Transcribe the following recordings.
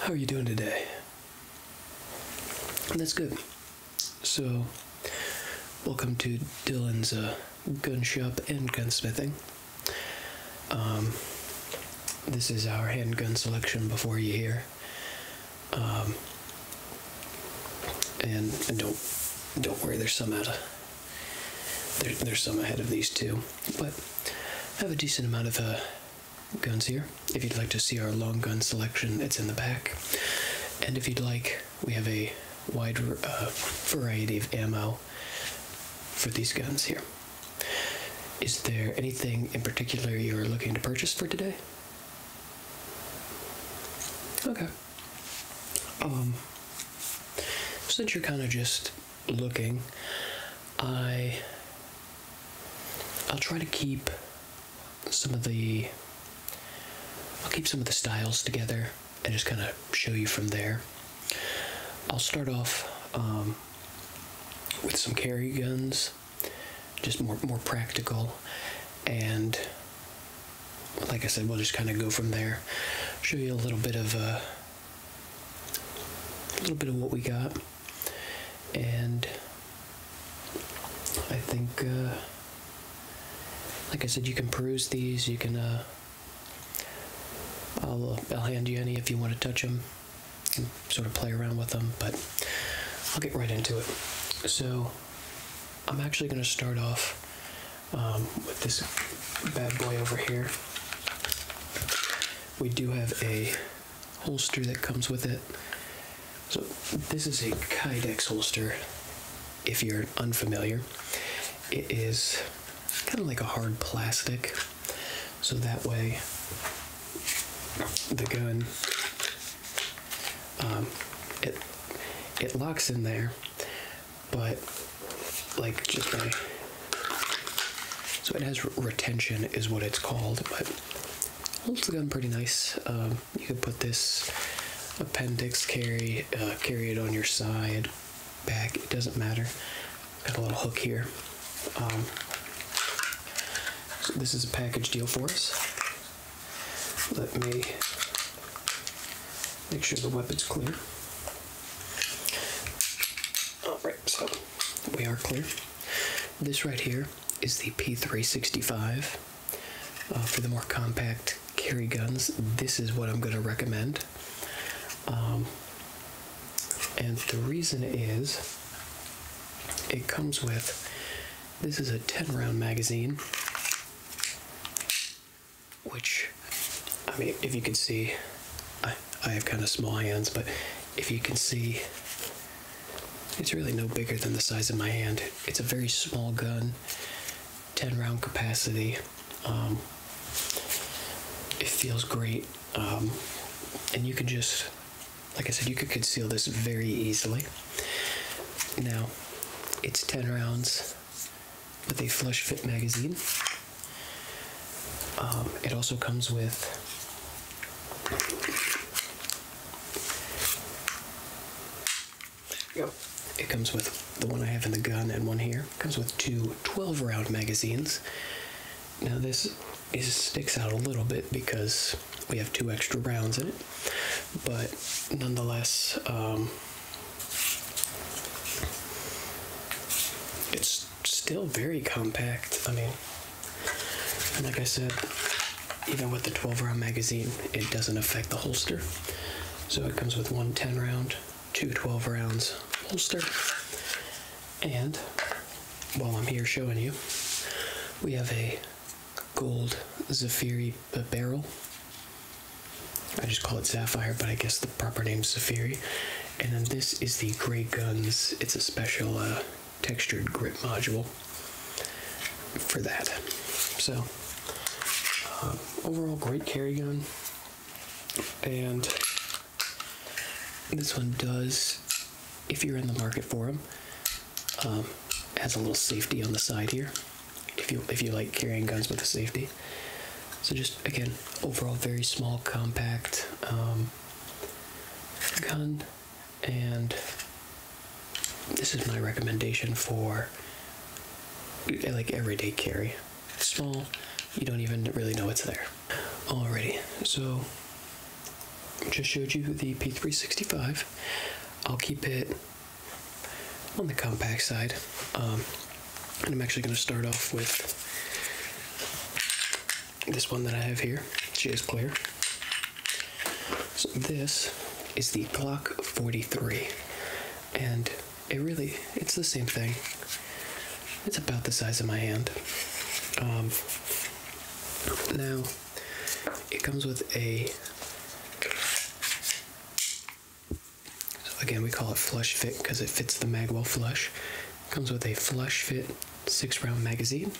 How are you doing today? That's good. So, welcome to Dylan's uh, gun shop and gunsmithing. Um, this is our handgun selection before you hear. Um, and, don't don't worry, there's some out of there's some ahead of these two, but I have a decent amount of uh, guns here. If you'd like to see our long gun selection, it's in the back. And if you'd like, we have a wide uh, variety of ammo for these guns here. Is there anything in particular you're looking to purchase for today? Okay. Um, since you're kind of just looking, I I'll try to keep some of the I'll keep some of the styles together and just kind of show you from there. I'll start off um, with some carry guns, just more more practical, and like I said, we'll just kind of go from there. Show you a little bit of uh, a little bit of what we got and I think, uh, like I said, you can peruse these. You can, uh, I'll, I'll hand you any if you want to touch them and sort of play around with them, but I'll get right into it. So, I'm actually going to start off um, with this bad boy over here. We do have a holster that comes with it. So this is a Kydex holster, if you're unfamiliar. It is kind of like a hard plastic, so that way the gun um, it it locks in there, but like just by so it has retention is what it's called, but Holds the gun pretty nice. Um, you can put this appendix carry, uh, carry it on your side, back. It doesn't matter. Got a little hook here. Um, this is a package deal for us. Let me make sure the weapon's clear. All right so we are clear. This right here is the P365. Uh, for the more compact carry guns, this is what I'm going to recommend. Um, and the reason is it comes with this is a 10 round magazine, which, I mean, if you can see, I, I have kind of small hands, but if you can see, it's really no bigger than the size of my hand. It's a very small gun, 10 round capacity. Um, it feels great. Um, and you can just, like I said, you could conceal this very easily. Now, it's 10 rounds with a flush fit magazine. Um, it also comes with Go. It comes with the one I have in the gun and one here. comes with two 12 round magazines. Now, this is, sticks out a little bit because we have two extra rounds in it, but nonetheless, um, it's still very compact. I mean, like I said, even with the 12 round magazine, it doesn't affect the holster. So it comes with one 10 round, two 12 rounds holster. And while I'm here showing you, we have a gold Zafiri barrel. I just call it Sapphire, but I guess the proper name is Zafiri. And then this is the Grey Guns. It's a special uh, textured grip module for that. So, uh, overall, great carry gun. And this one does, if you're in the market for them, um, has a little safety on the side here. If you if you like carrying guns with a safety, so just again, overall very small, compact um, gun and this is my recommendation for like everyday carry. small, you don't even really know it's there. Already, so just showed you the P365. I'll keep it on the compact side. Um, and I'm actually going to start off with this one that I have here. She is clear. So this is the Glock 43, and it really it's the same thing. It's about the size of my hand. Um, now it comes with a so again we call it flush fit because it fits the mag well flush Comes with a flush fit six round magazine.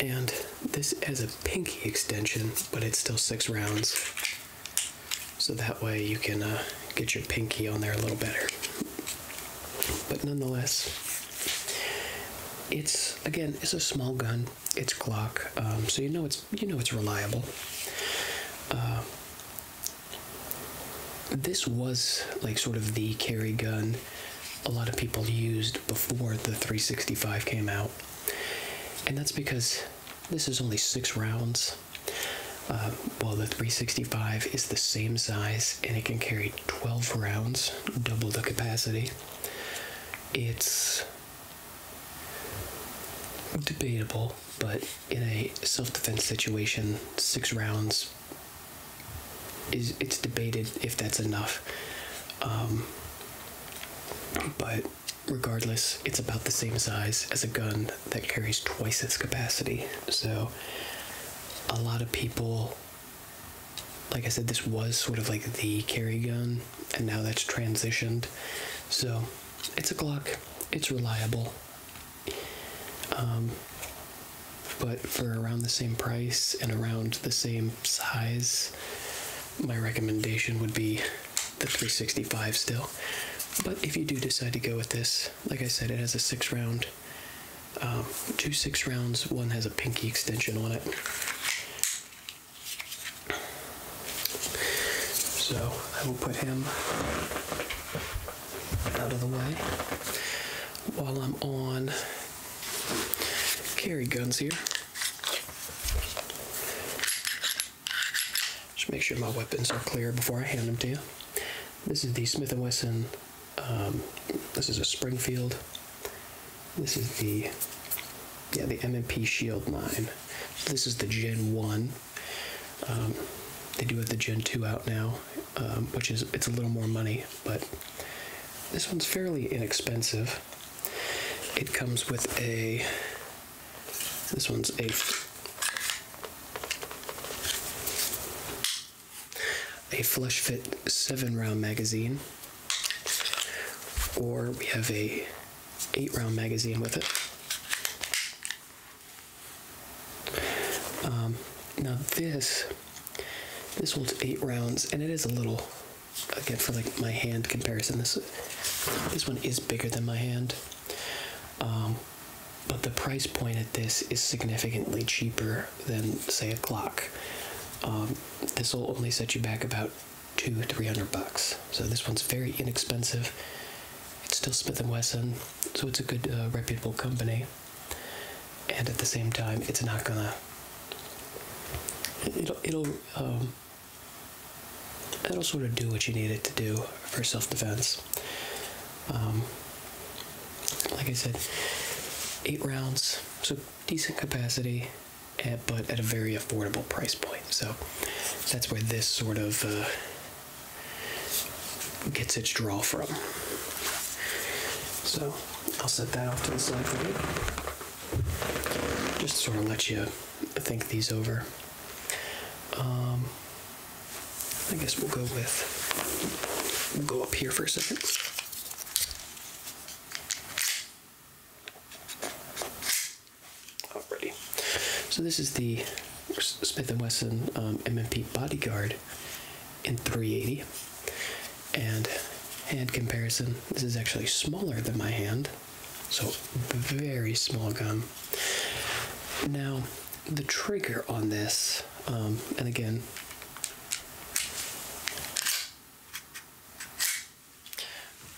And this has a pinky extension, but it's still six rounds. So that way you can uh, get your pinky on there a little better. But nonetheless, it's again, it's a small gun. It's Glock, um, so you know it's you know it's reliable. Uh, this was like sort of the carry gun a lot of people used before the 365 came out. And that's because this is only six rounds, uh, while the 365 is the same size and it can carry 12 rounds, double the capacity. It's debatable, but in a self defense situation, six rounds is it's debated if that's enough. Um, but regardless, it's about the same size as a gun that carries twice its capacity. So a lot of people like I said, this was sort of like the carry gun, and now that's transitioned. So it's a Glock, it's reliable, um, but for around the same price and around the same size, my recommendation would be the 365 still. But if you do decide to go with this, like I said, it has a six round, um, two six rounds, one has a pinky extension on it. So I will put him out of the way while I'm on carry guns here. Just make sure my weapons are clear before I hand them to you. This is the Smith & Wesson, um, this is a Springfield. This is the, yeah, the M&P Shield line. This is the Gen 1. Um, they do have the Gen 2 out now. Um, which is it's a little more money, but this one's fairly inexpensive. It comes with a this one's a a flush fit seven round magazine, or we have a eight round magazine with it. Um, now this this one's eight rounds, and it is a little again for like my hand comparison. This this one is bigger than my hand, um, but the price point at this is significantly cheaper than say a clock. Um, this will only set you back about two three hundred bucks. So this one's very inexpensive. It's still Smith and Wesson, so it's a good uh, reputable company and at the same time, it's not gonna. It'll it'll um, it'll sort of do what you need it to do for self defense. Um, like I said, eight rounds, so decent capacity, at, eh, but at a very affordable price point. So that's where this sort of uh, gets its draw from. So I'll set that off to the side for you. Just sort of let you think these over. Um, I guess we'll go with, we'll go up here for a second. Alrighty. So this is the Smith & Wesson MMP um, Bodyguard in 380. And hand comparison, this is actually smaller than my hand, so very small gun. Now, the trigger on this, um, and again,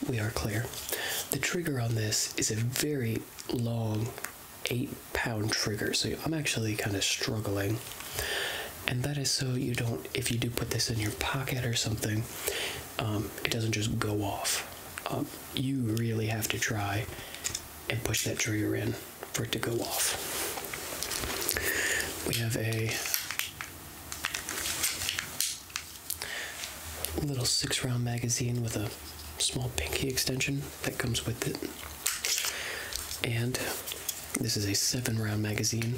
we are clear. The trigger on this is a very long eight pound trigger, so I'm actually kind of struggling and that is so you don't if you do put this in your pocket or something um, it doesn't just go off um, you really have to try and push that trigger in for it to go off we have a little six round magazine with a small pinky extension that comes with it and this is a seven round magazine.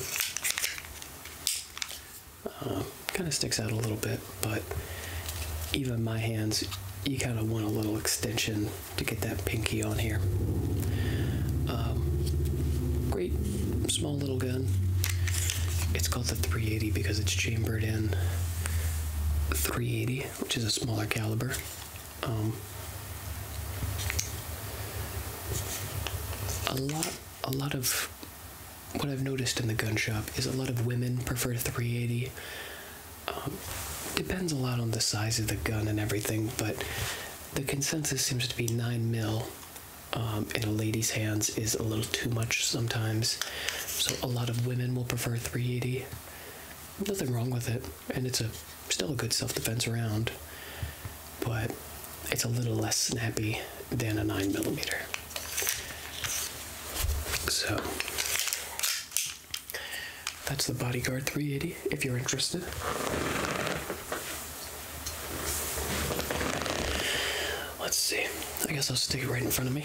Uh, kind of sticks out a little bit, but even my hands, you kind of want a little extension to get that pinky on here. Um, great small little gun. It's called the 380 because it's chambered in 380, which is a smaller caliber. Um, a lot, a lot of what I've noticed in the gun shop is a lot of women prefer 380. Um, depends a lot on the size of the gun and everything, but the consensus seems to be 9 mil. Um, in a lady's hands is a little too much sometimes, so a lot of women will prefer 380. Nothing wrong with it, and it's a still a good self defense round, but it's a little less snappy than a 9mm. So that's the Bodyguard 380 if you're interested. Let's see. I guess I'll stick it right in front of me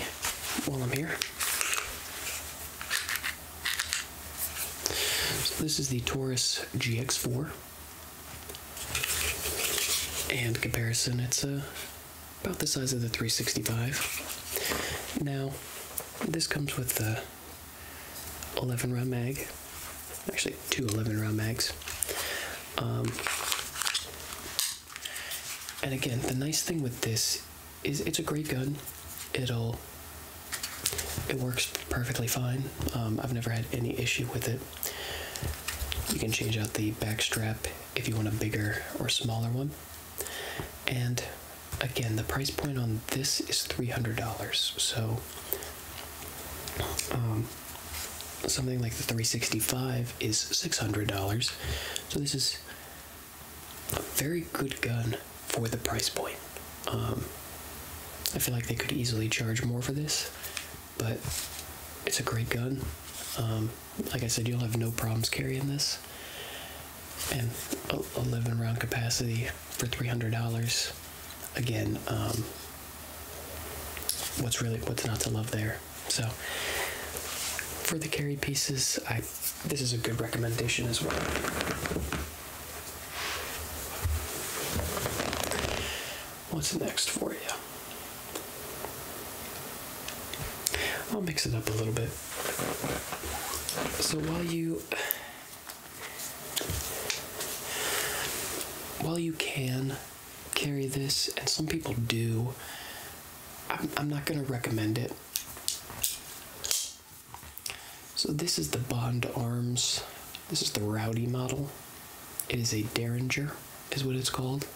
while I'm here. So this is the Taurus GX4. And comparison, it's uh, about the size of the 365. Now, this comes with the 11 round mag. Actually, two 11 round mags. Um, and again, the nice thing with this is it's a great gun. It'll it works perfectly fine. Um, I've never had any issue with it. You can change out the back strap if you want a bigger or smaller one. And again, the price point on this is $300. So um, something like the 365 is $600. So this is a very good gun for the price point. Um, I feel like they could easily charge more for this, but it's a great gun. Um, like I said, you'll have no problems carrying this. And a 11 round capacity for $300. Again, um, what's really what's not to love there. So for the carry pieces, I this is a good recommendation as well. What's next for you? I'll mix it up a little bit. So while you while you can carry this, and some people do, I'm, I'm not going to recommend it. So this is the Bond Arms. This is the Rowdy model. It is a Derringer, is what it's called.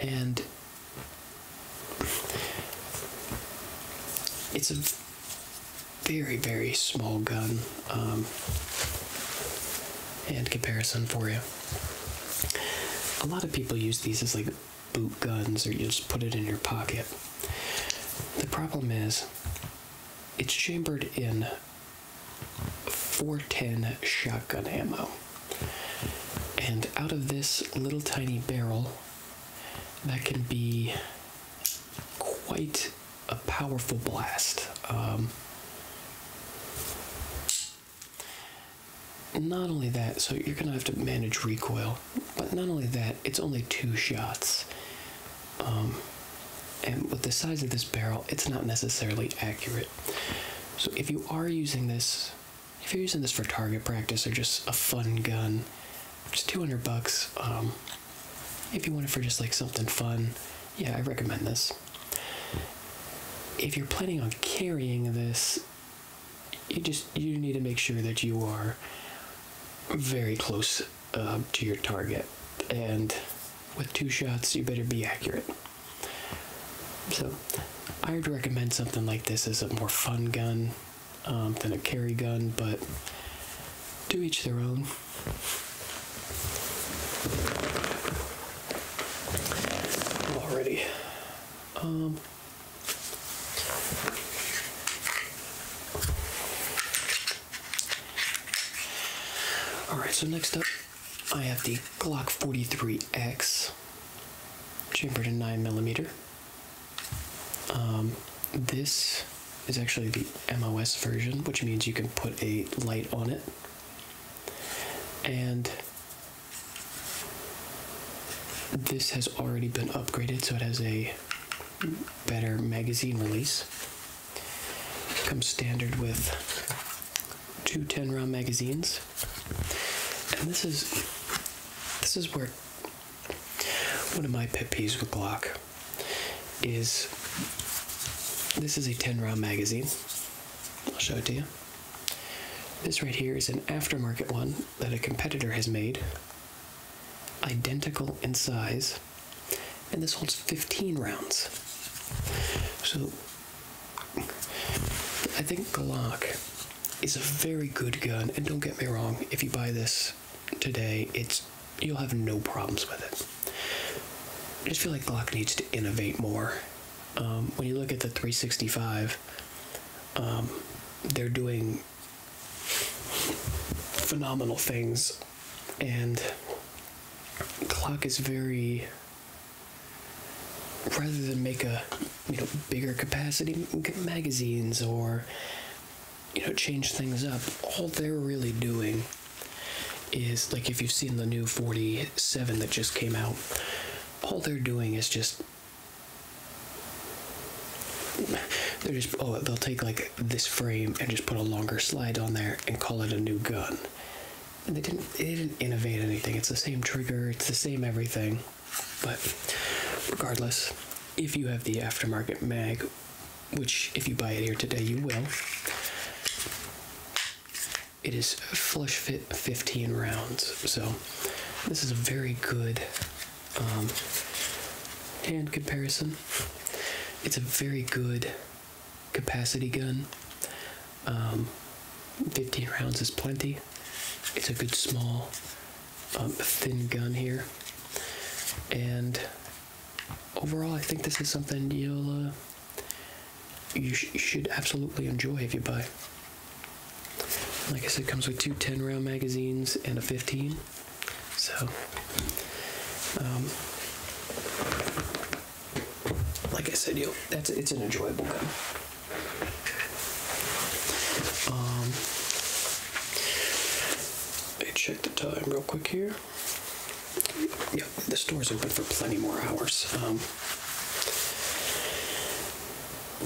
And it's a very, very small gun. Um, and comparison for you. A lot of people use these as like boot guns or you just put it in your pocket. The problem is it's chambered in 410 shotgun ammo. And out of this little tiny barrel, that can be quite a powerful blast. Um, not only that, so you're going to have to manage recoil, but not only that, it's only two shots. Um, and with the size of this barrel, it's not necessarily accurate. So if you are using this, if you're using this for target practice or just a fun gun, just 200 bucks. Um, if you want it for just like something fun, yeah, I recommend this. If you're planning on carrying this, you just you need to make sure that you are very close um, to your target. And with two shots, you better be accurate. So, I would recommend something like this as a more fun gun um, than a carry gun, but do each their own. Already, Um, Alright, so next up, I have the Glock 43X, chambered in 9mm. Um, this is actually the MOS version, which means you can put a light on it. And this has already been upgraded, so it has a better magazine release. Comes standard with two 10 round magazines. And this is this is where one of my pet peeves with Glock is this is a 10 round magazine. I'll show it to you. This right here is an aftermarket one that a competitor has made, identical in size, and this holds 15 rounds. So I think Glock is a very good gun, and don't get me wrong, if you buy this today, it's you'll have no problems with it. I just feel like Glock needs to innovate more. Um, when you look at the 365, um, they're doing phenomenal things. And Clock is very rather than make a you know bigger capacity magazines or you know change things up all they're really doing is like if you've seen the new 47 that just came out all they're doing is just they just oh, they'll take like this frame and just put a longer slide on there and call it a new gun and they didn't they didn't innovate anything it's the same trigger it's the same everything but regardless if you have the aftermarket mag which if you buy it here today you will it is flush fit 15 rounds so this is a very good um, hand comparison. It's a very good capacity gun. Um, 15 rounds is plenty. It's a good small, um, thin gun here. And overall, I think this is something you'll uh, you, you should absolutely enjoy if you buy. Like I said, it comes with two 10 round magazines and a 15. So, um, like I said, you that's it's an enjoyable gun. Um, let me check the time real quick here. Yeah, the store's open for plenty more hours. Um,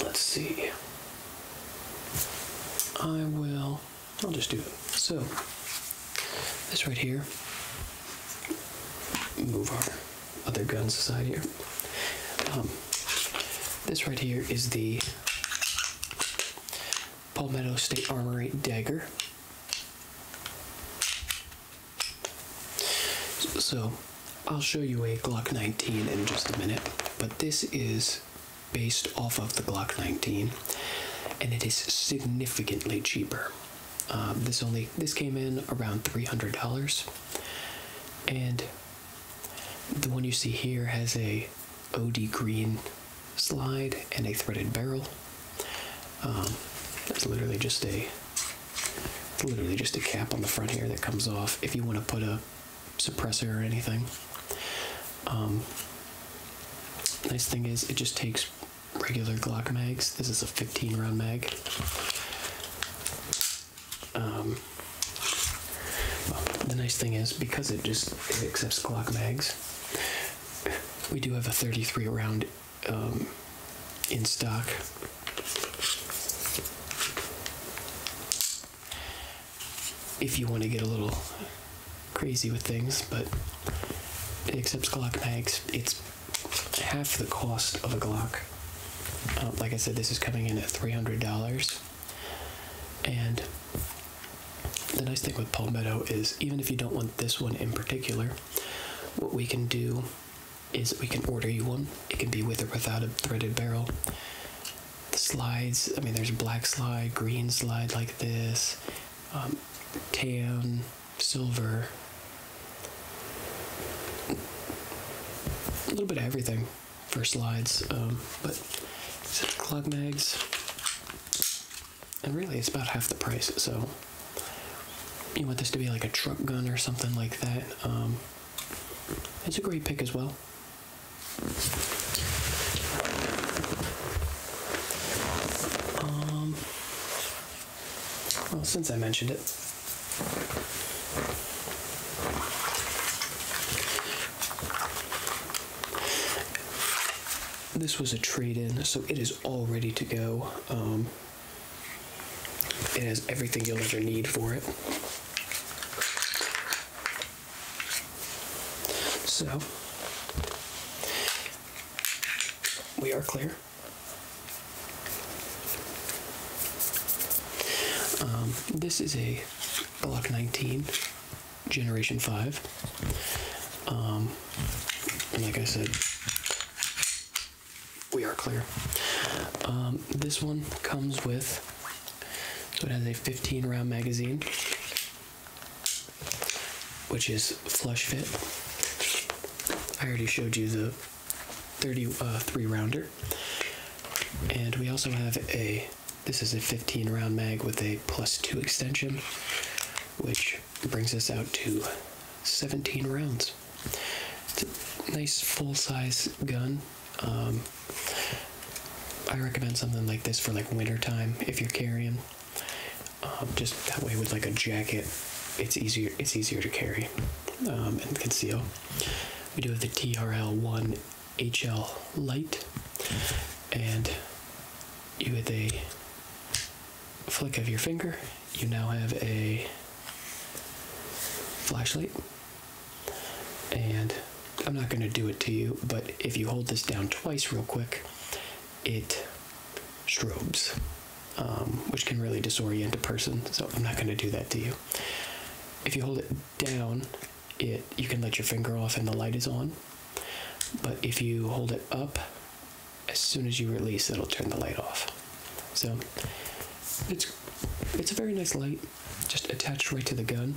let's see. I will. I'll just do So, this right here, move our other guns aside here. Um, this right here is the Palmetto State Armory dagger. So, I'll show you a Glock 19 in just a minute, but this is based off of the Glock 19, and it is significantly cheaper. Um, this only this came in around $300, and the one you see here has a OD green slide and a threaded barrel. Um, That's literally just a literally just a cap on the front here that comes off if you want to put a suppressor or anything um, nice thing is, it just takes regular Glock mags. This is a 15 round mag. Um, the nice thing is, because it just accepts Glock mags, we do have a 33 round um, in stock. If you want to get a little crazy with things, but it accepts Glock mags. It's half the cost of a Glock. Um, like I said, this is coming in at $300. And the nice thing with Palmetto is, even if you don't want this one in particular, what we can do is we can order you one. It can be with or without a threaded barrel. The slides, I mean, there's black slide, green slide like this, tan, um, silver, a little bit of everything for slides. Um, but Clog mags, and really it's about half the price. So you want this to be like a truck gun or something like that. Um, it's a great pick as well. Um, well, since I mentioned it, this was a trade-in, so it is all ready to go. Um, it has everything you'll ever need for it. So, we are clear. Um, this is a Glock 19, Generation 5. Um, like I said, we are clear. Um, this one comes with, so it has a 15 round magazine which is Flush Fit. I already showed you the 33 uh, rounder. And we also have a, this is a 15 round mag with a plus 2 extension, which brings us out to 17 rounds. nice full size gun. Um, I recommend something like this for like winter time if you're carrying. Um, just that way, with like a jacket, it's easier. It's easier to carry um, and conceal. We do have the TRL One HL Light, and with a flick of your finger, you now have a flashlight. And I'm not going to do it to you, but if you hold this down twice, real quick, it strobes, um, which can really disorient a person. So I'm not going to do that to you. If you hold it down, it you can let your finger off and the light is on. But if you hold it up, as soon as you release, it'll turn the light off. So it's it's a very nice light, just attached right to the gun.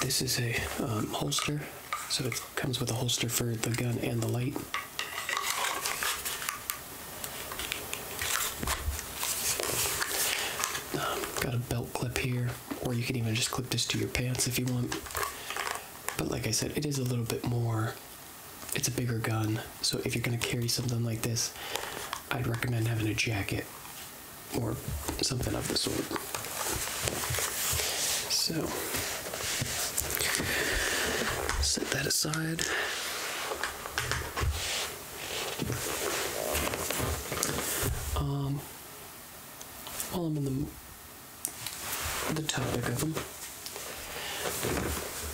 This is a um, holster so it comes with a holster for the gun and the light. Um, got a belt clip here, or you can even just clip this to your pants if you want. But like I said, it is a little bit more, it's a bigger gun. So if you're going to carry something like this, I'd recommend having a jacket or something of the sort. So set that aside. Um, while I'm in the, the topic of them,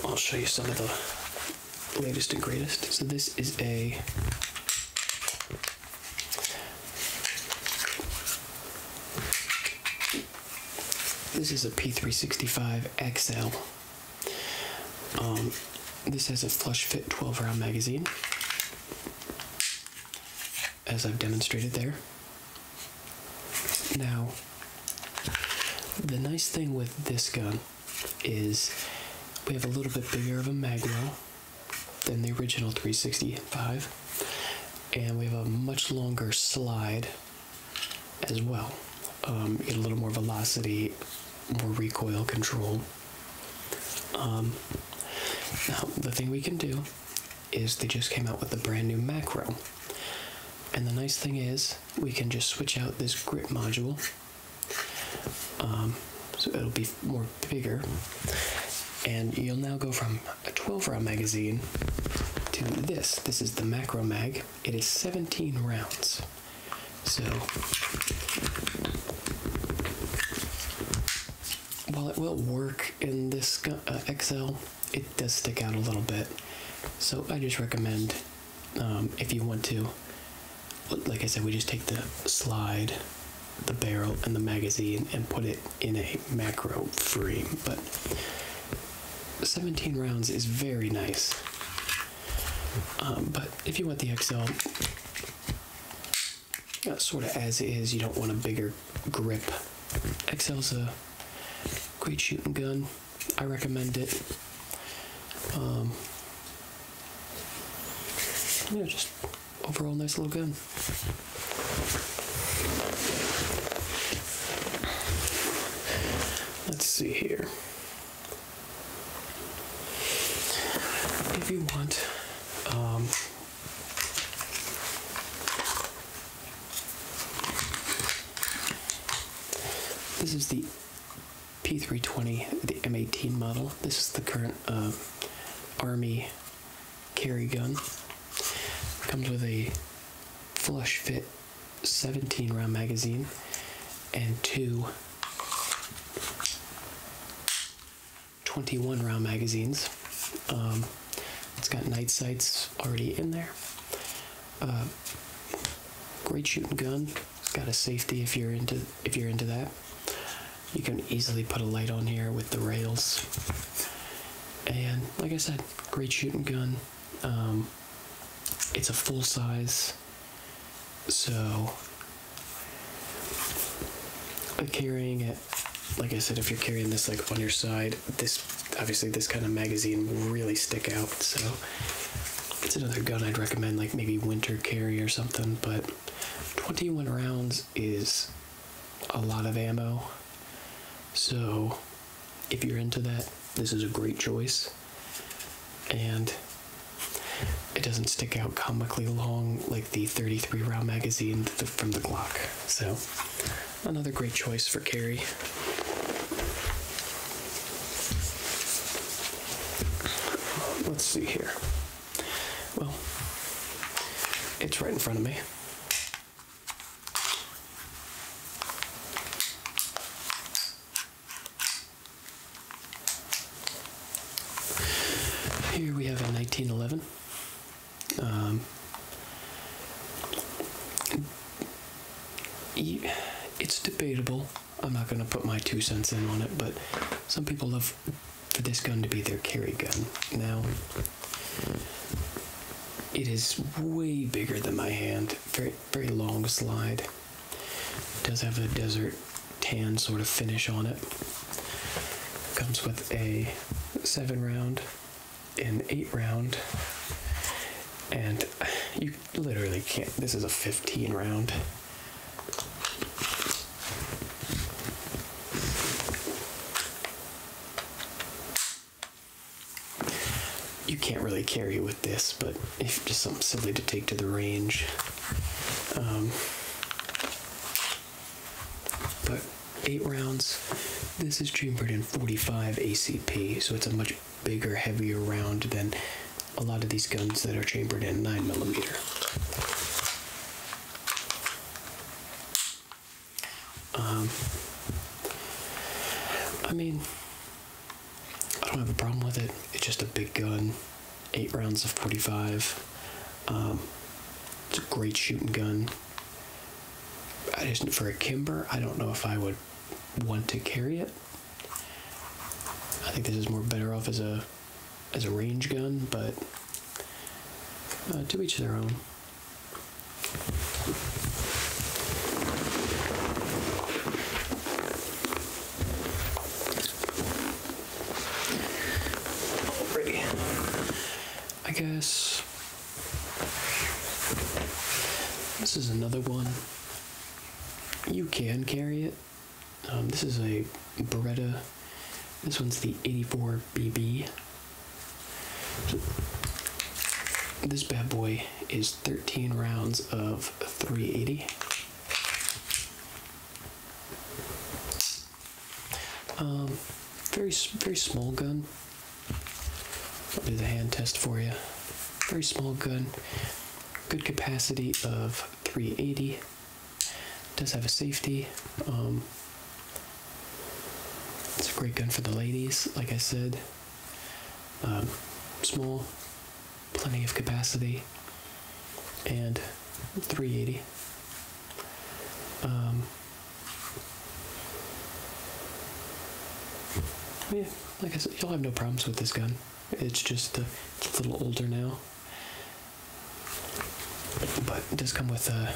I'll show you some of the latest and greatest. So this is a this is a P365 XL. Um, this has a flush fit 12 round magazine, as I've demonstrated there. Now, the nice thing with this gun is we have a little bit bigger of a mag well than the original 365 and we have a much longer slide as well um, a little more velocity more recoil control um, now the thing we can do is they just came out with a brand new macro and the nice thing is we can just switch out this grip module um, so it'll be more bigger. And you'll now go from a 12 round magazine to this. This is the macro mag. It is 17 rounds. So while it will work in this uh, XL, it does stick out a little bit. So I just recommend um, if you want to, like I said, we just take the slide the barrel and the magazine and put it in a macro frame. But 17 rounds is very nice. Um, but if you want the XL, uh, sort of as is, you don't want a bigger grip. XL's a great shooting gun. I recommend it. Um, just overall nice little gun. Let's see here. If you want, um, this is the P320, the M18 model. This is the current uh, Army carry gun. Comes with a flush fit 17 round magazine and two 21 round magazines. Um, it's got night sights already in there. Uh, great shooting gun. It's got a safety if you're into if you're into that you can easily put a light on here with the rails. And like I said, great shooting gun. Um, it's a full size, so carrying it, like I said, if you're carrying this like on your side, this obviously this kind of magazine will really stick out. So it's another gun I'd recommend, like maybe winter carry or something. But 21 rounds is a lot of ammo so, if you're into that, this is a great choice. And it doesn't stick out comically long like the 33 round magazine from the Glock. So, another great choice for carry. Let's see here. Well, it's right in front of me. Here we have a 1911. Um, it's debatable. I'm not going to put my two cents in on it, but some people love for this gun to be their carry gun. Now, it is way bigger than my hand, very, very long slide. does have a desert tan sort of finish on it. Comes with a seven round, an eight round, and you literally can't. This is a 15 round. You can't really carry with this, but if just something silly to take to the range. Um, but eight rounds. This is chambered in 45 ACP, so it's a much bigger, heavier round than a lot of these guns that are chambered in 9 millimeter. Um, I mean, I don't have a problem with it. It's just a big gun, eight rounds of 45. Um, it's a great shooting gun. I just for a Kimber, I don't know if I would want to carry it. I think this is more better off as a as a range gun, but uh, to each their own. Alrighty. I guess this is another one. You can carry it. Um, this is a Beretta. This one's the 84BB. This bad boy is 13 rounds of 380. Um, very very small gun. I'll do the hand test for you. Very small gun. Good capacity of 380. Does have a safety. Um, it's a great gun for the ladies, like I said. Um, small, plenty of capacity, and 380. Um, yeah, like I said, you'll have no problems with this gun. It's just uh, a little older now, but it does come with uh,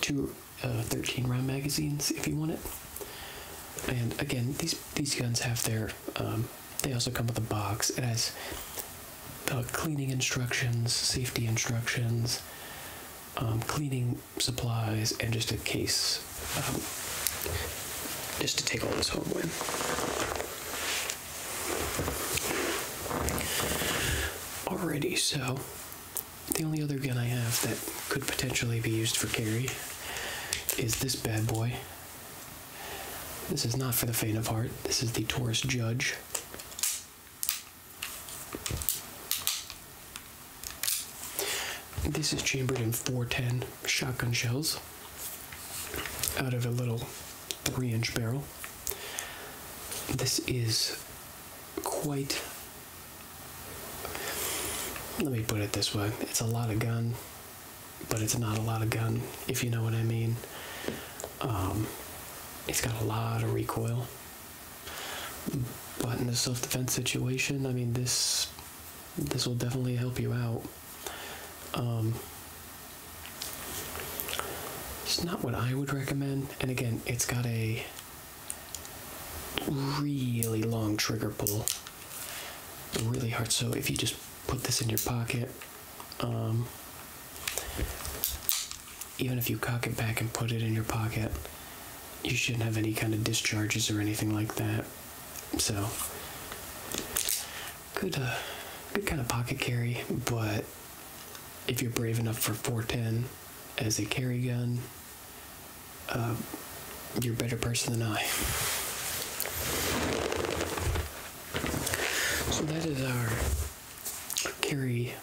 two uh, 13 round magazines if you want it. And again, these these guns have their. Um, they also come with a box. It has uh, cleaning instructions, safety instructions, um, cleaning supplies, and just a case, um, just to take all this home with. Already so the only other gun I have that could potentially be used for carry is this bad boy. This is not for the faint of heart. This is the Taurus Judge. This is chambered in 410 shotgun shells out of a little 3 inch barrel. This is quite let me put it this way it's a lot of gun but it's not a lot of gun if you know what i mean um, it's got a lot of recoil but in a self-defense situation i mean this this will definitely help you out um, it's not what i would recommend and again it's got a really long trigger pull really hard so if you just put this in your pocket um, even if you cock it back and put it in your pocket you shouldn't have any kind of discharges or anything like that so good uh, good kind of pocket carry but if you're brave enough for 410 as a carry gun, uh, you're a better person than I. So that is our carry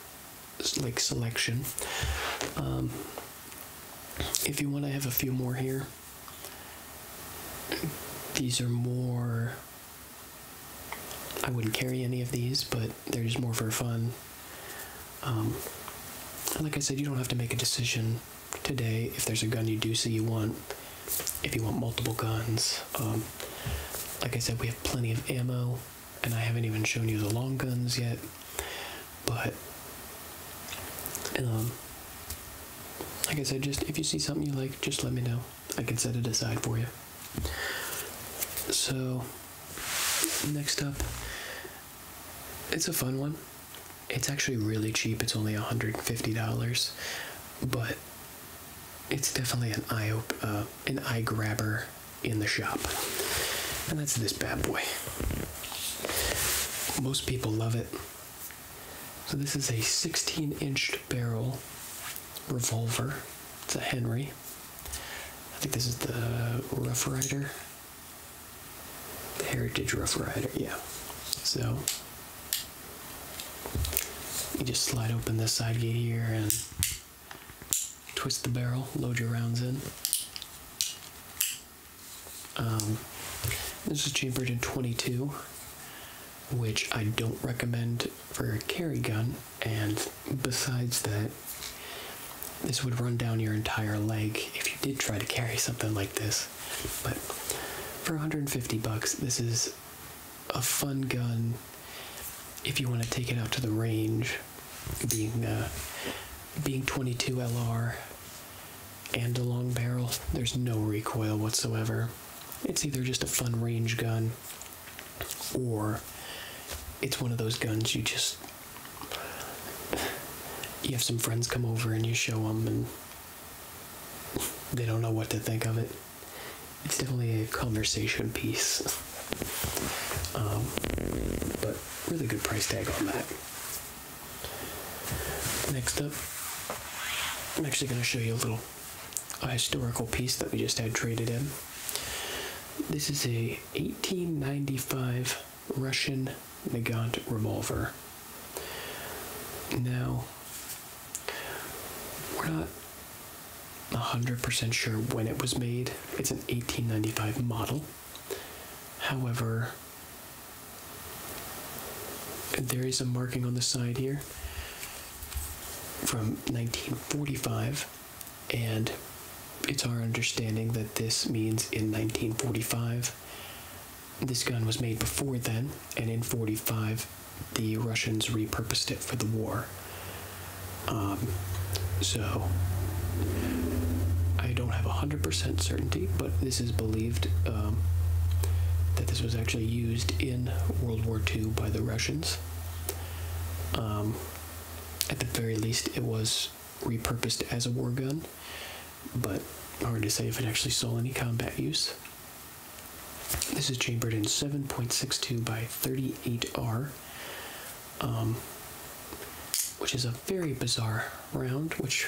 like selection. Um, if you want, I have a few more here. These are more. I wouldn't carry any of these, but they're just more for fun. Um, like I said, you don't have to make a decision today if there's a gun you do see you want, if you want multiple guns. Um, like I said, we have plenty of ammo, and I haven't even shown you the long guns yet, but. Um, like I said, just if you see something you like, just let me know. I can set it aside for you. So, Next up, it's a fun one. It's actually really cheap. It's only $150, but it's definitely an eye op uh, an eye grabber in the shop. And that's this bad boy. Most people love it. So this is a 16-inch barrel revolver. It's a Henry. I think this is the Rough Rider. The Heritage Rough Rider, yeah. So you just slide open this side gate here and twist the barrel, load your rounds in. Um, this is chambered in 22, which I don't recommend for a carry gun and besides that, this would run down your entire leg if you did try to carry something like this. But for 150 bucks, this is a fun gun if you want to take it out to the range, being uh, being 22 LR and a long barrel, there's no recoil whatsoever. It's either just a fun range gun or it's one of those guns you just you have some friends come over and you show them and they don't know what to think of it it's definitely a conversation piece um, but really good price tag on that next up i'm actually going to show you a little a historical piece that we just had traded in this is a 1895 Russian Nagant revolver. Now, we're not 100% sure when it was made. It's an 1895 model. However, there is a marking on the side here from 1945 and it's our understanding that this means in 1945 this gun was made before then and in 45 the russians repurposed it for the war um, so i don't have 100% certainty but this is believed um, that this was actually used in world war ii by the russians um, at the very least it was repurposed as a war gun, but hard to say if it actually saw any combat use. This is chambered in 7.62 by 38R, um, which is a very bizarre round, which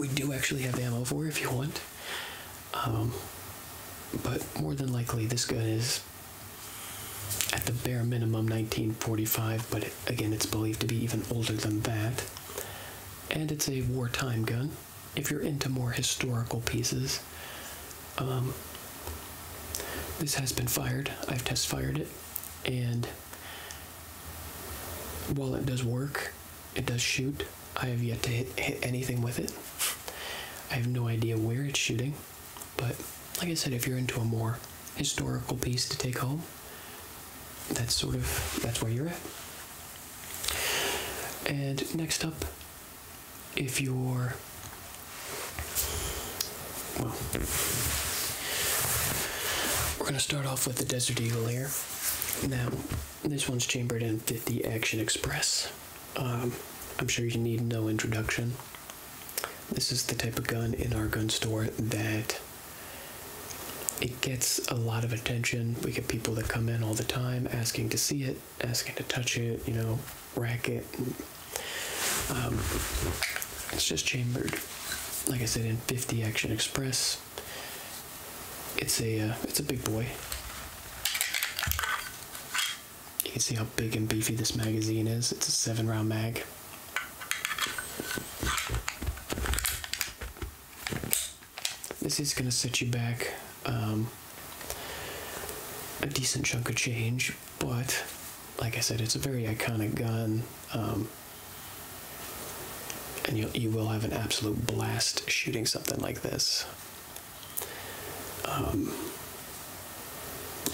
we do actually have ammo for if you want. Um, but more than likely, this gun is at the bare minimum 1945, but again, it's believed to be even older than that. And it's a wartime gun. If you're into more historical pieces, um, this has been fired. I've test fired it, and while it does work, it does shoot. I have yet to hit anything with it. I have no idea where it's shooting. But like I said, if you're into a more historical piece to take home, that's sort of that's where you're at. And next up, if you're well, we're gonna start off with the Desert Eagle here. Now, this one's chambered in 50 Action Express. Um, I'm sure you need no introduction this is the type of gun in our gun store that it gets a lot of attention. We get people that come in all the time asking to see it, asking to touch it, you know, rack it. Um, it's just chambered, like I said, in 50 Action Express. It's a uh, it's a big boy. You can see how big and beefy this magazine is. It's a seven round mag. This is going to set you back um, a decent chunk of change, but like I said, it's a very iconic gun. Um, and you, you will have an absolute blast shooting something like this. Um,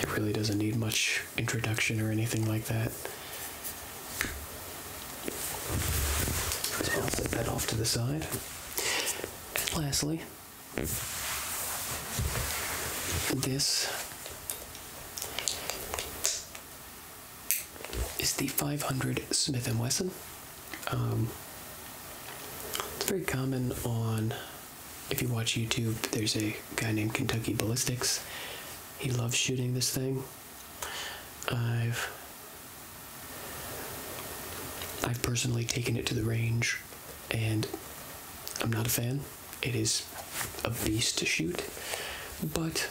it really doesn't need much introduction or anything like that. So I'll set that off to the side. lastly, this is the 500 Smith & Wesson. Um, it's very common on if you watch YouTube, there's a guy named Kentucky Ballistics. He loves shooting this thing. I've I've personally taken it to the range and I'm not a fan. It is a beast to shoot. But,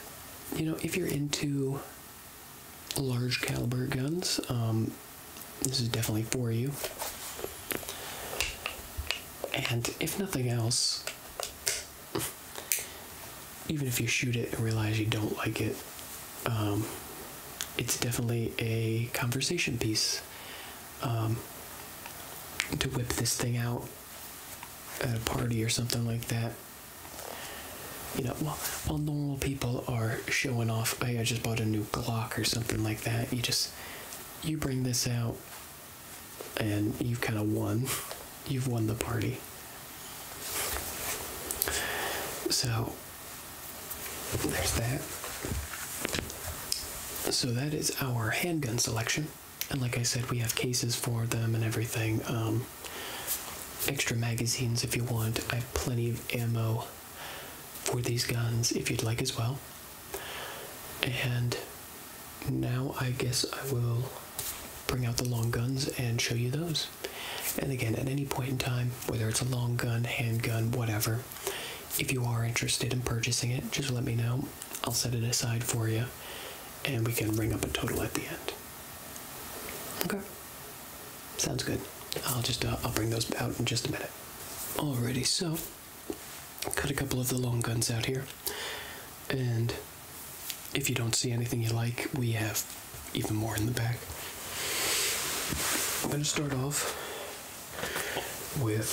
you know, if you're into large caliber guns, um, this is definitely for you. And if nothing else, even if you shoot it and realize you don't like it, um, it's definitely a conversation piece um, to whip this thing out at a party or something like that. You know, while, while normal people are showing off, hey, I just bought a new Glock or something like that, you just, you bring this out and you've kind of won. You've won the party. So there's that. So that is our handgun selection. And like I said, we have cases for them and everything. Um, extra magazines if you want. I have plenty of ammo for these guns if you'd like as well. And now I guess I will bring out the long guns and show you those. And again, at any point in time, whether it's a long gun, handgun, whatever, if you are interested in purchasing it, just let me know. I'll set it aside for you and we can bring up a total at the end. Okay. Sounds good. I'll just uh, I'll bring those out in just a minute. Alrighty, so Cut a couple of the long guns out here. And if you don't see anything you like, we have even more in the back. I'm going to start off with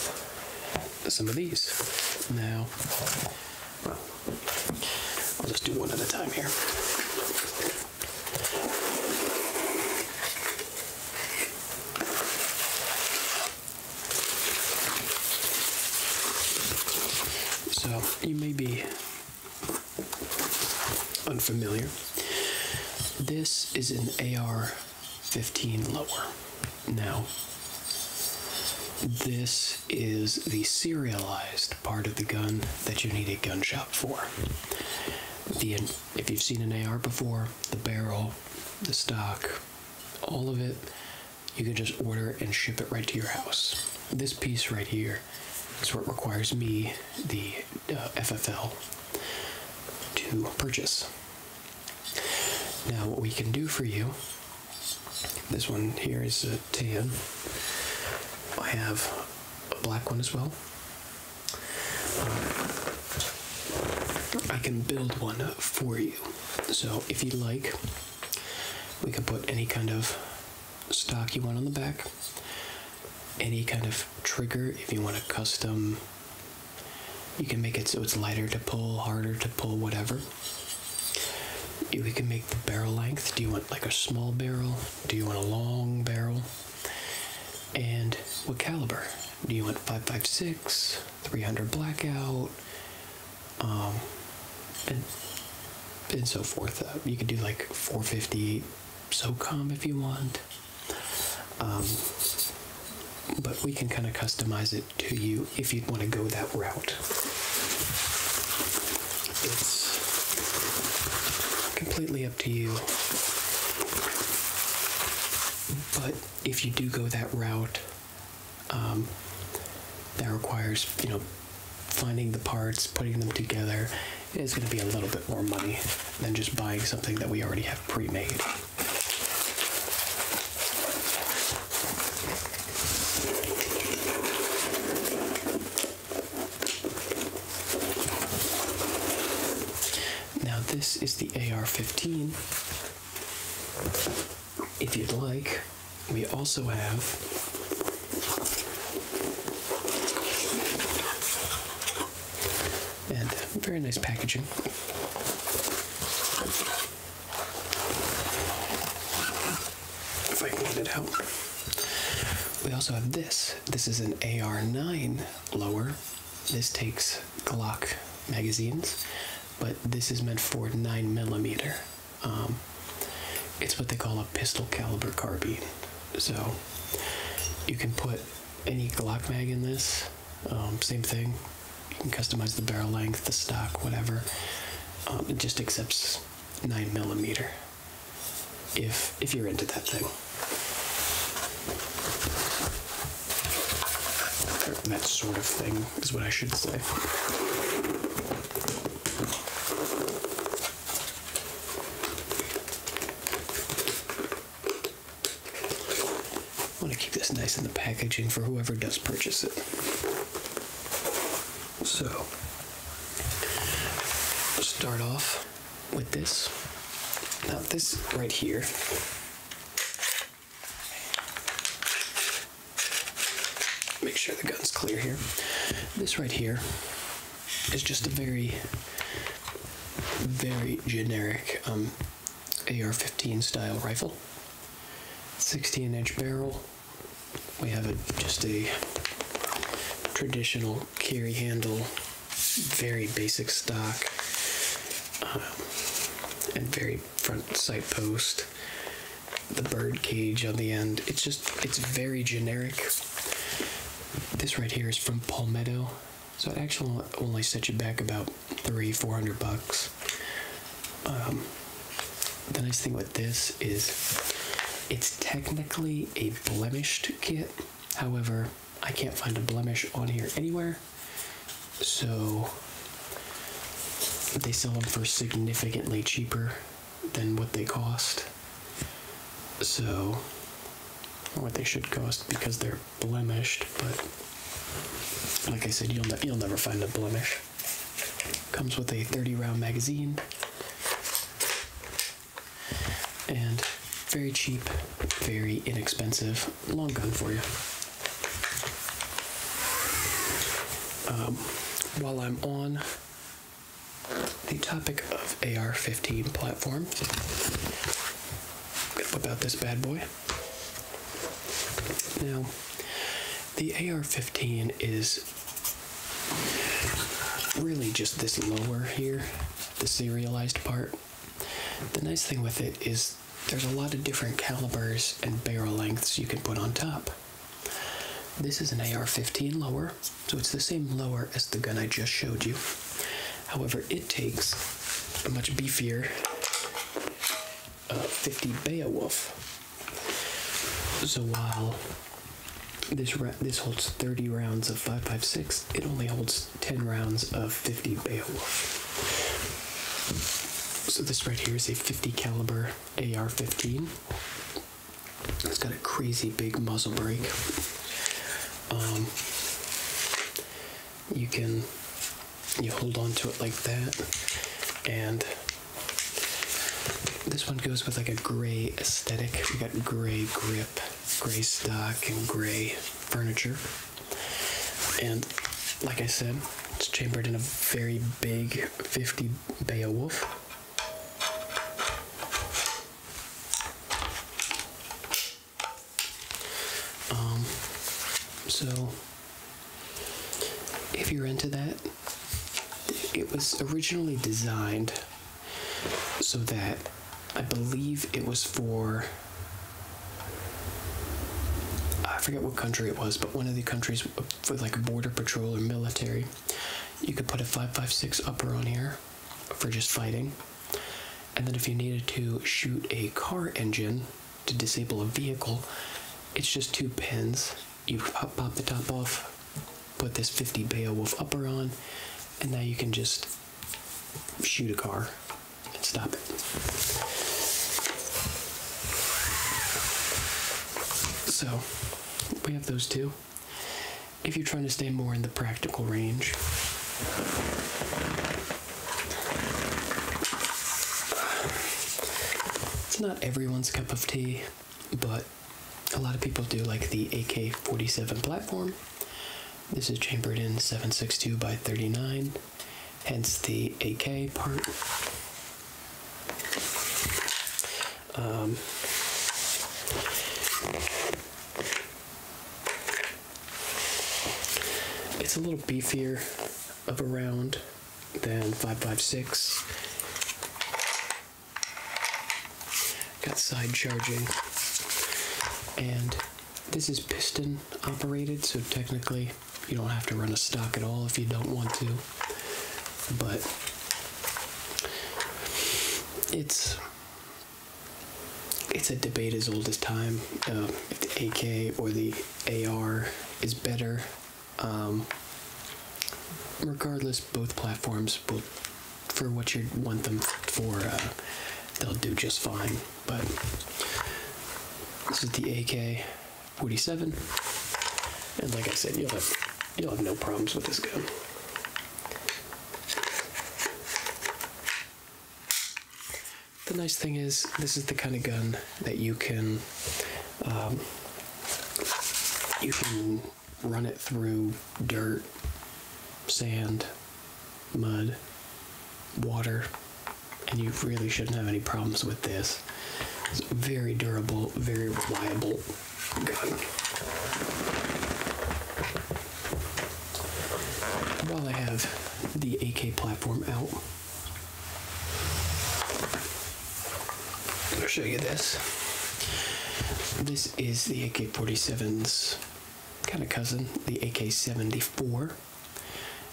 some of these. Now, I'll just do one at a time here. So you may be unfamiliar. This is an AR 15 lower. Now, this is the serialized part of the gun that you need a gun shop for. if you've seen an AR before, the barrel, the stock, all of it you can just order and ship it right to your house this piece right here is what requires me the uh, ffl to purchase now what we can do for you this one here is a tan i have a black one as well I can build one for you. So if you'd like, we can put any kind of stock you want on the back, any kind of trigger if you want a custom. You can make it so it's lighter to pull, harder to pull, whatever. We can make the barrel length. Do you want like a small barrel? Do you want a long barrel? And what caliber? Do you want 5.56? 300 blackout, um, and and so forth. Uh, you could do like 450 so SOCOM if you want. Um, but we can kind of customize it to you if you'd want to go that route. It's completely up to you. But if you do go that route, um, that requires, you know, finding the parts, putting them together. It's going to be a little bit more money than just buying something that we already have pre-made. Now this is the AR-15 if you'd like, we also have and very nice packaging. If I can get it out. We also have this. This is an AR9 lower this takes Glock magazines, but this is meant for 9mm. Um, it's what they call a pistol caliber carbine. So you can put any Glock mag in this, um, same thing. You can customize the barrel length, the stock, whatever. Um, it just accepts 9mm if, if you're into that thing. That sort of thing is what I should say. I want to keep this nice in the packaging for whoever does purchase it. So, start off with this. Now, this right here Make sure the gun's clear here. This right here is just a very, very generic um, AR-15 style rifle. 16 inch barrel. We have just a traditional carry handle, very basic stock, uh, and very front sight post, the bird cage on the end. It's just, it's very generic. This right here is from Palmetto, so it actually only set you back about three, four hundred bucks. Um, the nice thing with this is it's technically a blemished kit. However, I can't find a blemish on here anywhere. So they sell them for significantly cheaper than what they cost. So, what they should cost because they're blemished, but like I said, you'll, you'll never find a blemish. Comes with a 30 round magazine and very cheap, very inexpensive long gun for you. Um, while I'm on the topic of AR-15 platform, I'm gonna whip out this bad boy. Now, the AR-15 is really just this lower here, the serialized part. The nice thing with it is there's a lot of different calibers and barrel lengths you can put on top. This is an AR 15 lower, so it's the same lower as the gun I just showed you. However, it takes a much beefier uh, 50 Beowulf. So while this this holds 30 rounds of 5.56, it only holds 10 rounds of 50 Beowulf. So this right here is a 50 caliber AR-15. It's got a crazy big muzzle brake. Um, you can you hold on to it like that, and this one goes with like a gray aesthetic. We got gray grip, gray stock, and gray furniture. And like I said, it's chambered in a very big 50 Beowulf. Um, so if you're into that, it was originally designed so that I believe it was for I forget what country it was, but one of the countries with like a border patrol or military, you could put a 5.56 upper on here for just fighting. And then if you needed to shoot a car engine to disable a vehicle, it's just two pins. You pop, pop the top off, put this 50 Beowulf upper on, and now you can just shoot a car. Stop it. So, we have those two. If you're trying to stay more in the practical range, it's not everyone's cup of tea, but a lot of people do like the AK 47 platform. This is chambered in 762 by 39 hence the AK part. Um, it's a little beefier of a round than 556. Got side charging. And this is piston operated, so technically you don't have to run a stock at all if you don't want to. But it's it's a debate as old as time uh, the AK or the AR is better. Um, regardless, both platforms will, for what you want them for, uh, they'll do just fine. But this is the AK. 47. And like I said, you'll have you'll have no problems with this gun. The nice thing is, this is the kind of gun that you can um, you can run it through dirt, sand, mud, water, and you really shouldn't have any problems with this. It's very durable, very reliable gun. While I have the AK platform out, I'll show you this. This is the AK 47's kind of cousin, the AK 74.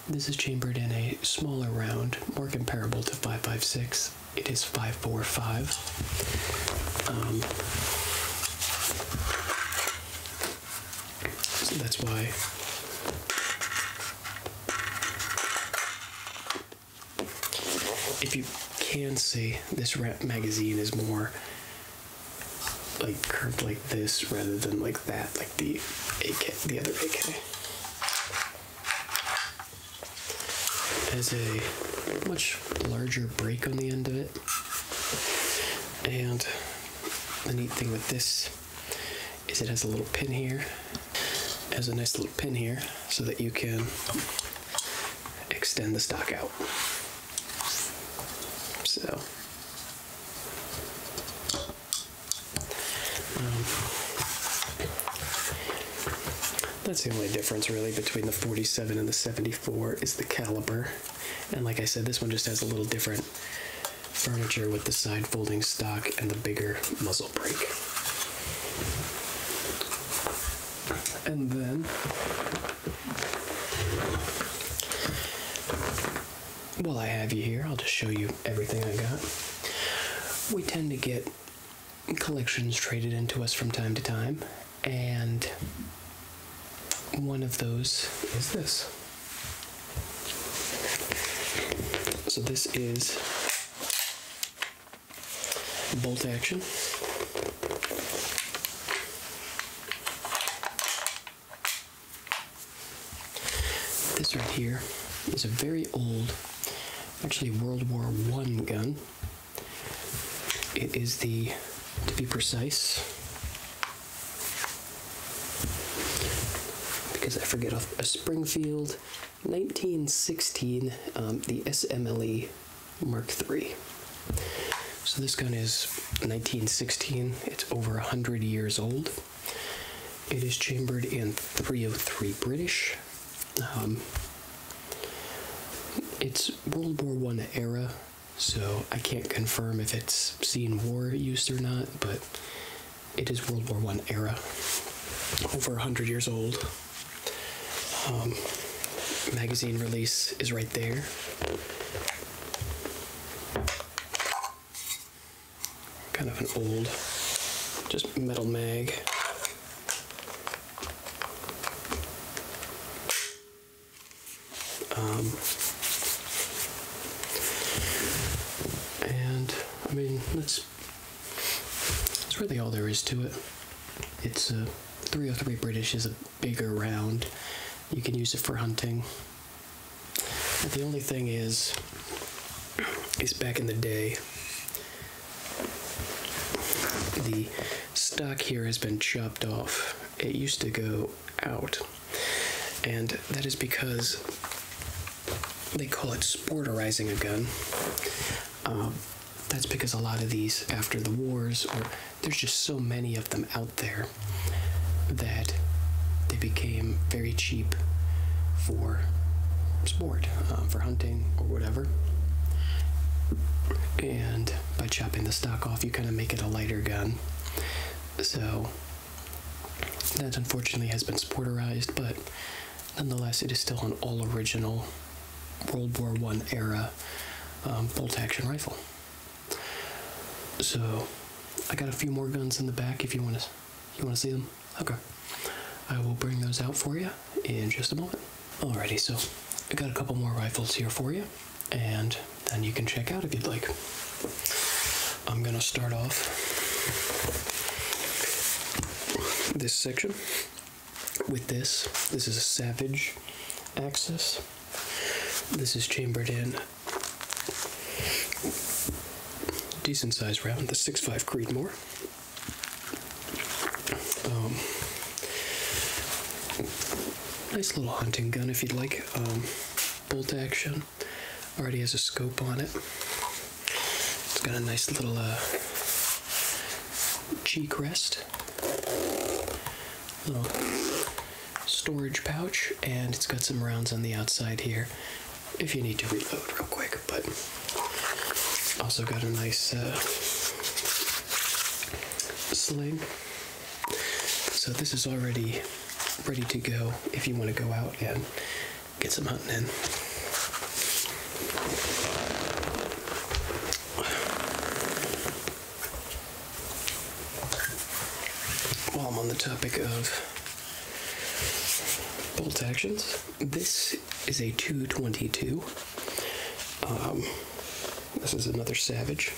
This is chambered in a smaller round, more comparable to 556. It is 545. Um, that's why if you can see this magazine is more like curved like this rather than like that the AK, the other AK. Has a much larger break on the end of it. And the neat thing with this is it has a little pin here. has a nice little pin here so that you can extend the stock out. So um, that's the only difference really between the 47 and the 74 is the caliper, And like I said, this one just has a little different furniture with the side folding stock and the bigger muzzle brake. And then well, I have you here, I'll just show you everything I got. We tend to get collections traded into us from time to time, and one of those is this. So, this is bolt action. This right here is a very old, actually World War I gun. It is the, to be precise, because I forget a Springfield 1916, um, the SMLE Mark III. So this gun is 1916. It's over 100 years old. It is chambered in 303 British. Um, it's World War I era, so I can't confirm if it's seen war used or not, but it is World War I era. Over 100 years old. Um, magazine release is right there kind of an old, just metal mag. Um, and I mean that's that's really all there is to it. It's a uh, 303 British is a bigger round. You can use it for hunting. The only thing is, is back in the day, the stock here has been chopped off. It used to go out, and that is because they call it sporterizing a gun. Um, that's because a lot of these after the wars, or there's just so many of them out there that they became very cheap for sport, um, for hunting or whatever. And by chopping the stock off, you kind of make it a lighter gun. So that unfortunately has been sporterized, but nonetheless, it is still an all original World War One era um, bolt action rifle. So I got a few more guns in the back if you want to you want to see them? Okay. I will bring those out for you in just a moment. Alrighty, so I got a couple more rifles here for you, and then you can check out if you'd like. I'm going to start off this section with this. This is a Savage Axis. This is chambered in decent size round, the six five Creedmoor. Um, nice little hunting gun if you'd like. Um, bolt action. Already has a scope on it. It's got a nice little uh, cheek rest. Little storage pouch, and it's got some rounds on the outside here if you need to reload real quick, but also got a nice uh, sling. So this is already ready to go if you want to go out and get some hunting in. While I'm on the topic of Bolt actions. This is a 222. Um, this is another Savage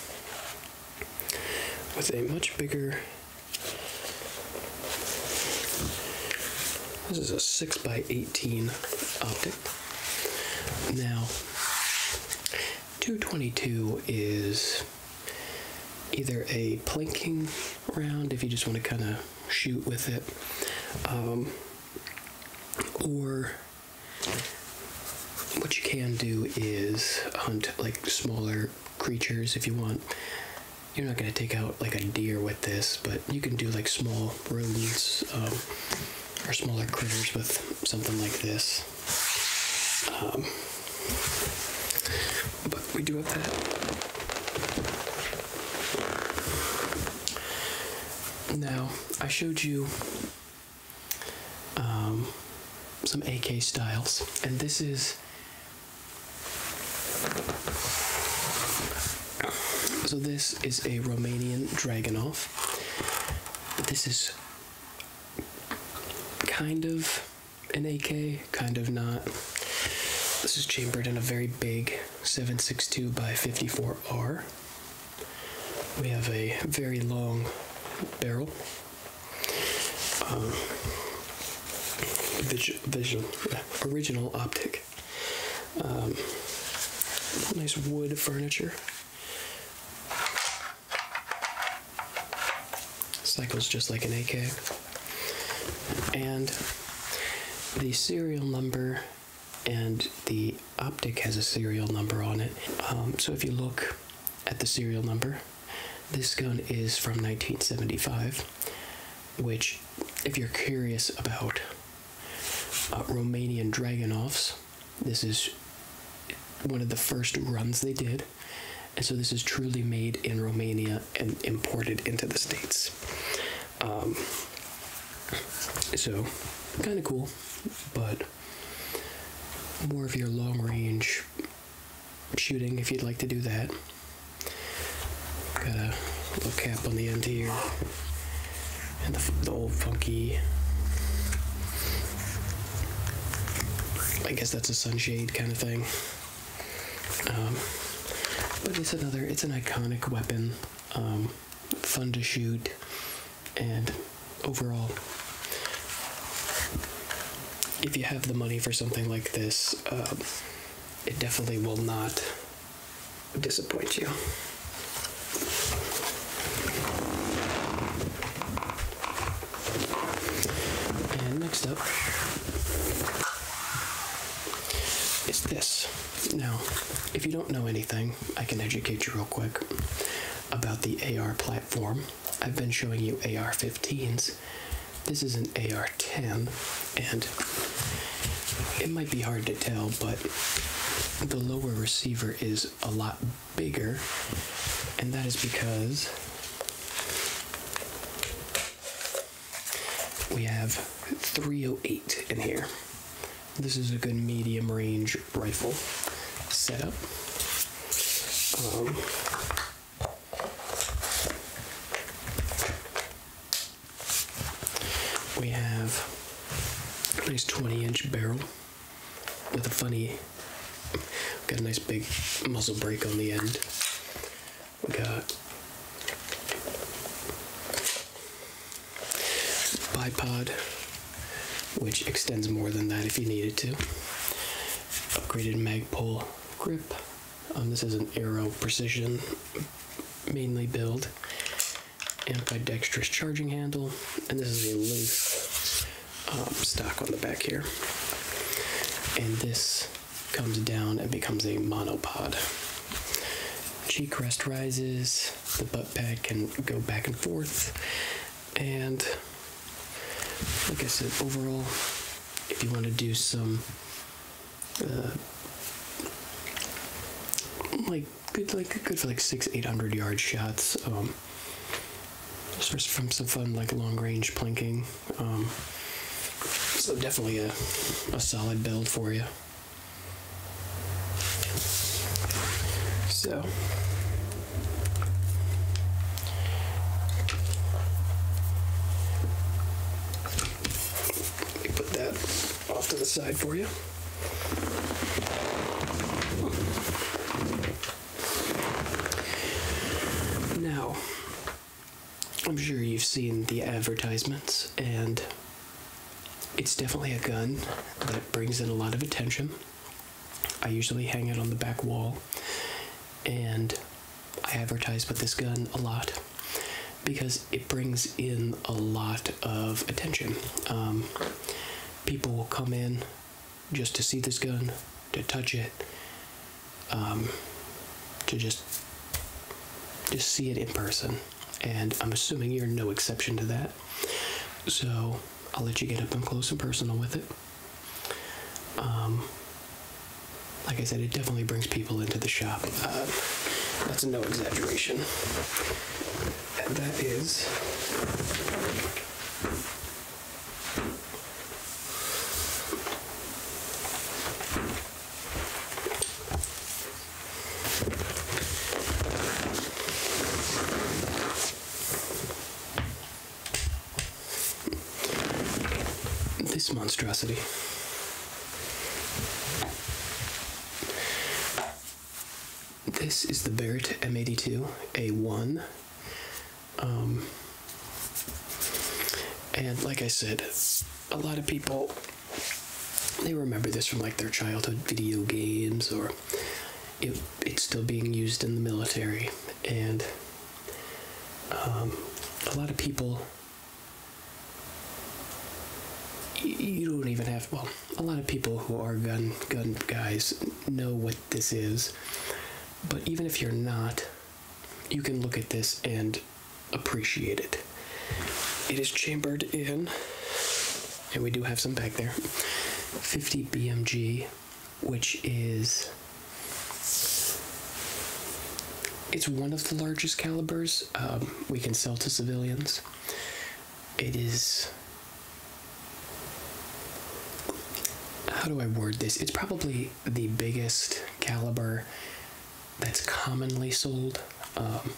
with a much bigger. This is a 6x18 optic. Now, 222 is either a plinking round if you just want to kind of shoot with it. Um, or what you can do is hunt like smaller creatures if you want. You're not going to take out like a deer with this, but you can do like small rodents um, or smaller critters with something like this. Um, but we do have that now, I showed you um, some AK styles, and this is. So, this is a Romanian Dragonov. This is kind of an AK, kind of not. This is chambered in a very big 762 by 54R. We have a very long barrel. Um, original optic. Um, nice wood furniture. Cycles just like an AK. And the serial number and the optic has a serial number on it. Um, so if you look at the serial number, this gun is from 1975, which, if you're curious about uh, Romanian Dragonovs, this is one of the first runs they did. And so this is truly made in Romania and imported into the States. Um, so, kind of cool, but more of your long range shooting if you'd like to do that. Got a little cap on the end here, and the old funky. I guess that's a sunshade kind of thing. Um, but it's another, it's an iconic weapon, um, fun to shoot, and overall, if you have the money for something like this, um, it definitely will not disappoint you. And next up, is this. Now, if you don't know anything, I can educate you real quick about the AR platform. I've been showing you AR 15s. This is an AR 10, and it might be hard to tell, but the lower receiver is a lot bigger, and that is because we have 308 in here. This is a good medium range rifle setup. Um, we have a nice 20 inch barrel with a funny, got a nice big muzzle brake on the end we got bipod, which extends more than that if you needed to. Upgraded magpole grip. Um, this is an aero precision mainly build. Ambidextrous charging handle, and this is a loose um, stock on the back here. And this comes down and becomes a monopod. Cheek rest rises, the butt pad can go back and forth, and like I said, overall, if you want to do some uh, like good, like good for like six, eight hundred yard shots, um, just from some fun like long range planking um, so definitely a, a solid build for you. So. Let put that off to the side for you. Now, I'm sure you've seen the advertisements, and it's definitely a gun that brings in a lot of attention. I usually hang it on the back wall, and I advertise with this gun a lot because it brings in a lot of attention. Um, people will come in just to see this gun, to touch it, um, to just just see it in person. And I'm assuming you're no exception to that. So I'll let you get up and close and personal with it. Um, like I said, it definitely brings people into the shop. Uh, that's no exaggeration. And that is this monstrosity. This is the Barrett M82 A1. Um, and like I said, a lot of people they remember this from like their childhood video games or it's still being used in the military and um, a lot of people you don't even have well a lot of people who are gun gun guys know what this is but even if you're not you can look at this and Appreciated. It is chambered in, and we do have some back there, 50 BMG, which is it's one of the largest calibers um, we can sell to civilians. It is how do I word this? It's probably the biggest caliber that's commonly sold. Um,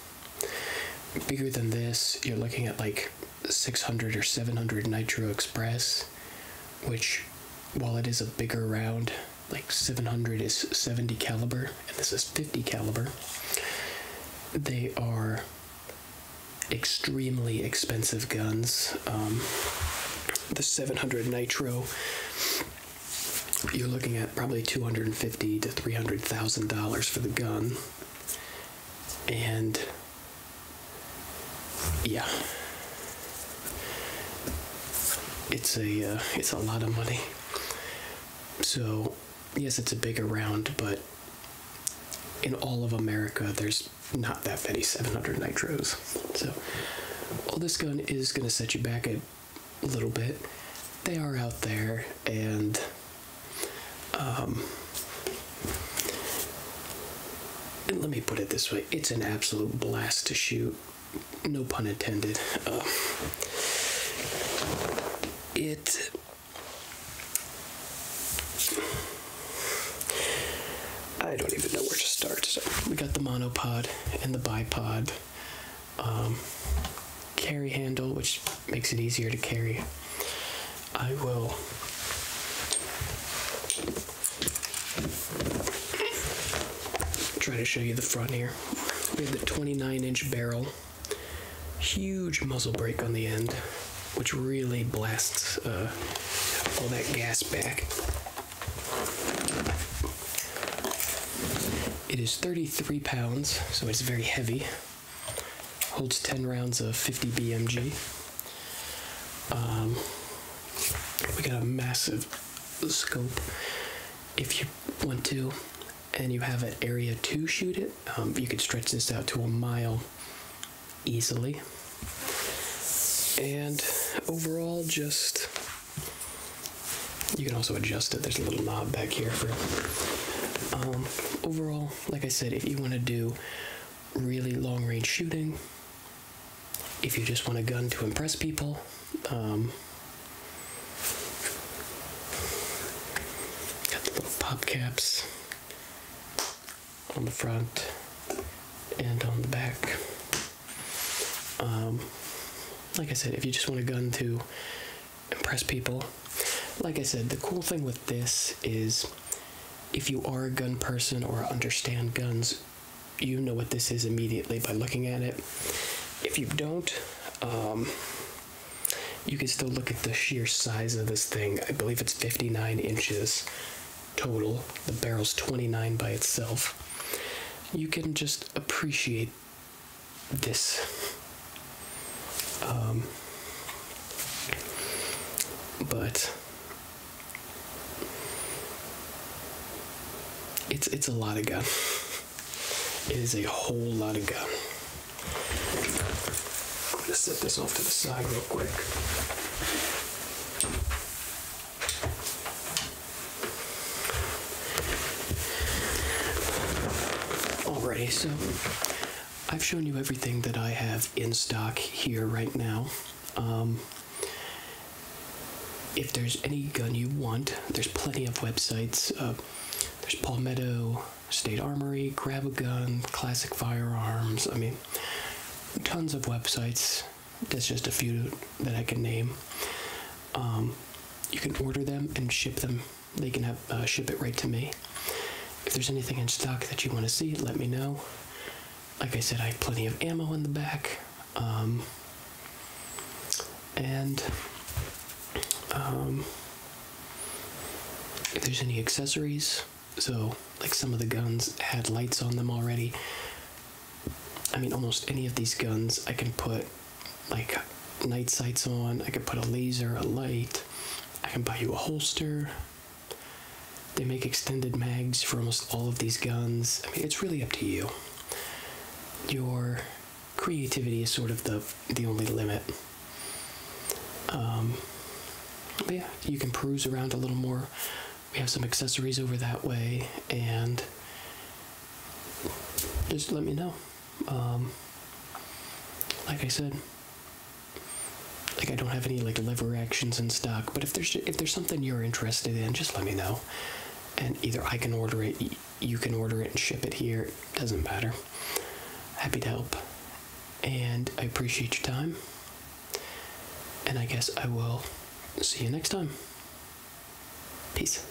bigger than this, you're looking at like 600 or 700 Nitro Express, which, while it is a bigger round, like 700 is 70 caliber, and this is 50 caliber. They are extremely expensive guns. Um, the 700 Nitro you're looking at probably two hundred and fifty to three hundred thousand dollars for the gun, and yeah, it's a uh, it's a lot of money. So yes, it's a bigger round, but in all of America, there's not that many 700 nitros. So all this gun is going to set you back at a little bit. They are out there, um, and let me put it this way: it's an absolute blast to shoot. No pun intended. Uh, it. I don't even know where to start. So we got the monopod and the bipod. Um, carry handle, which makes it easier to carry. I will try to show you the front here. We have the 29 inch barrel, huge muzzle brake on the end, which really blasts uh, all that gas back. It is 33 pounds, so it's very heavy. Holds 10 rounds of 50 BMG. Um, we got a massive scope. If you want to, and you have an area to shoot it, um, you could stretch this out to a mile easily. And overall, just you can also adjust it. There's a little knob back here for. Um, overall, like I said, if you want to do really long range shooting, if you just want a gun to impress people, um, got the little pop caps on the front and on the back. Um, like I said, if you just want a gun to impress people, like I said, the cool thing with this is if you are a gun person or understand guns, you know what this is immediately by looking at it. If you don't, um, you can still look at the sheer size of this thing. I believe it's 59 inches total. The barrel's 29 by itself. You can just appreciate this. Um, but it's it's a lot of gun. It is a whole lot of gun. I'm gonna set this off to the side real quick. Alrighty, so I've shown you everything that I have in stock here right now. Um, if there's any gun you want, there's plenty of websites. Uh, there's Palmetto, State Armory, Grab a Gun, Classic Firearms. I mean, tons of websites. That's just a few that I can name. Um, you can order them and ship them. They can have uh, ship it right to me. If there's anything in stock that you want to see, let me know. Like I said, I have plenty of ammo in the back. Um, and um, if there's any accessories, so like some of the guns had lights on them already. I mean, almost any of these guns I can put like night sights on. I could put a laser, a light. I can buy you a holster. They make extended mags for almost all of these guns. I mean, it's really up to you. Your creativity is sort of the the only limit. Um, yeah, you can peruse around a little more. We have some accessories over that way, and just let me know. Um, like I said, like I don't have any like lever actions in stock. But if there's if there's something you're interested in, just let me know, and either I can order it, you can order it and ship it here. doesn't matter. Happy to help, and I appreciate your time. And I guess I will see you next time. Peace.